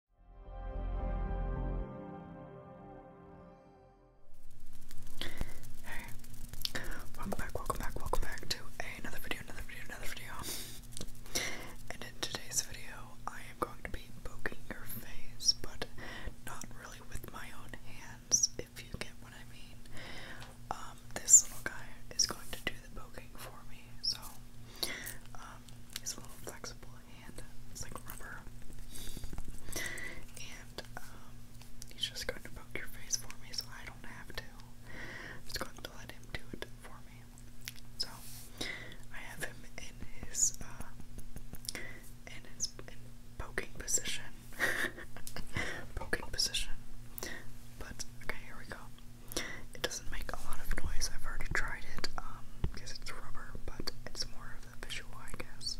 Hey, welcome back, welcome back, welcome back to another video, another video, another video. and in today's video, I am going to be poking your face, but not really with my own hands, if you get what I mean. Um, this little guy is going to do the poking for me, so um, he's a little flexible and it's like rubber. And um, he's just going to poke your face for me so I don't have to. I'm just going to let him do it for me. So I have him in his uh, in his poking position. poking position. But okay, here we go. It doesn't make a lot of noise. I've already tried it because um, it's rubber, but it's more of the visual, I guess.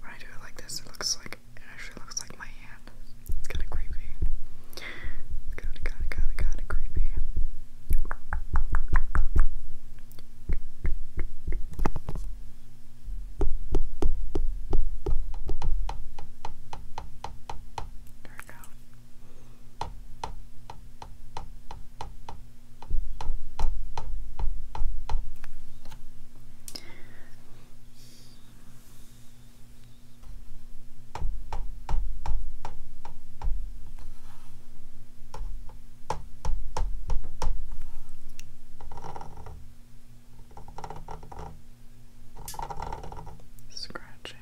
When I do it like this, it looks like actually looks like my hand. It's kind of creepy. It's kind of, kind of, kind of, kind of creepy. There we go. Scratching.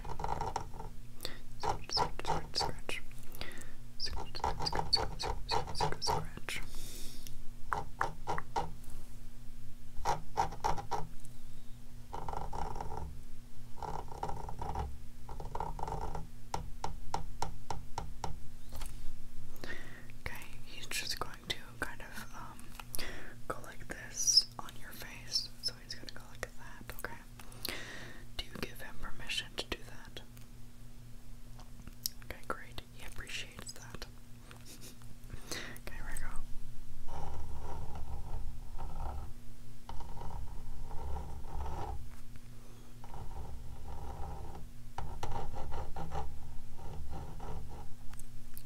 Scratch, scratch, scratch, scratch. Scratch, scratch, scratch, scratch, scratch, scratch. Okay, he's just going to kind of um, go like this on your face. So he's gonna go like that, okay? Do you give him permission to do that? Okay, great. He appreciates that. Okay,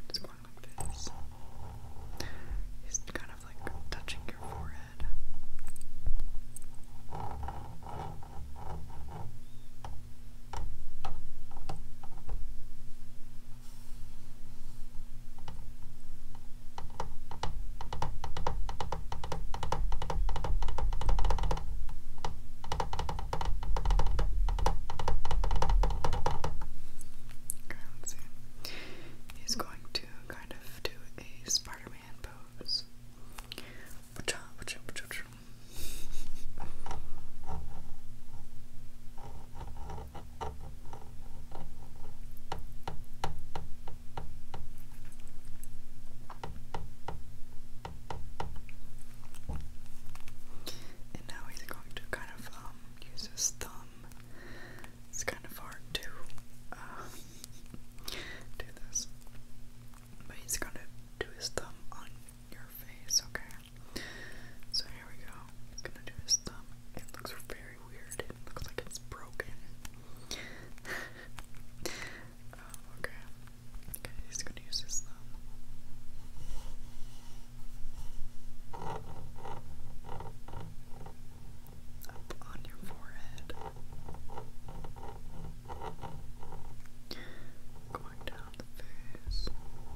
It's going like this. He's kind of like touching your forehead. Let's see. He's going to kind of do a Spider Man pose. And now he's going to kind of um, use his thumb. It's kind of hard to uh, do this. But he's going to do his thumb on your face, okay? So here we go. He's going to do his thumb. It looks very very weird. looks like it's broken. Oh, okay. Okay, he's gonna use his thumb. on your forehead. Going down the face.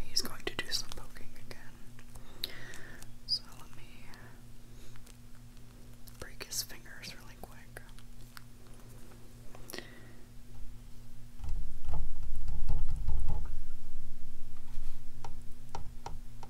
He's going to do some poking again. So let me break his fingers really quick.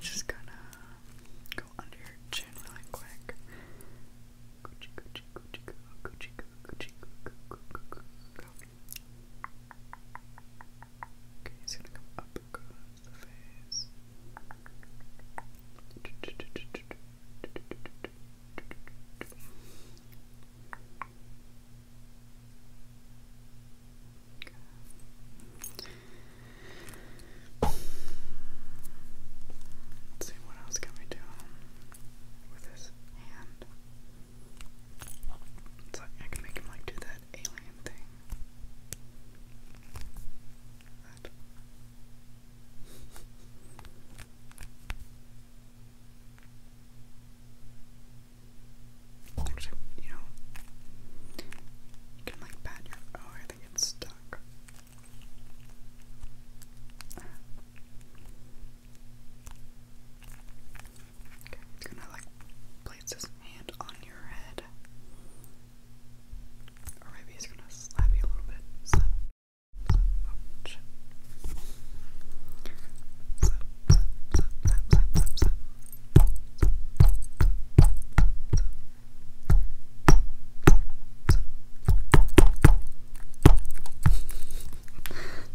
Just gonna go under your chin really quick. Okay, he's gonna come up across the face. Let's see what else can we do with this hand. It's I can make him like do that alien thing you know, you can like pat your. Oh, I think it's stuck. Okay, it's gonna like place his hand on your head. Or maybe he's gonna slap you a little bit. Slap,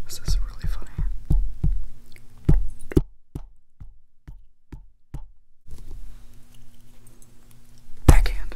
this is really funny. Backhand.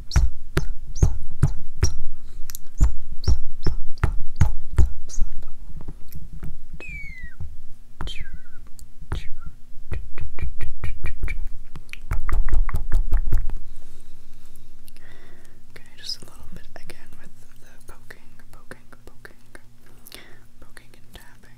Okay, just a little bit again with the poking, poking, poking, poking and tapping.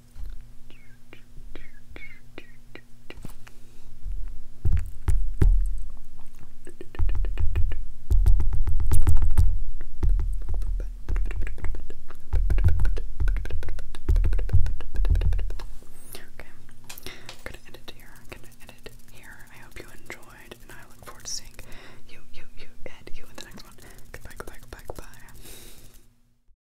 Okay, I'm gonna edit here. I'm gonna edit here. I hope you enjoyed, and I look forward to seeing you, you, you, and you in the next one. Goodbye, goodbye, goodbye, goodbye.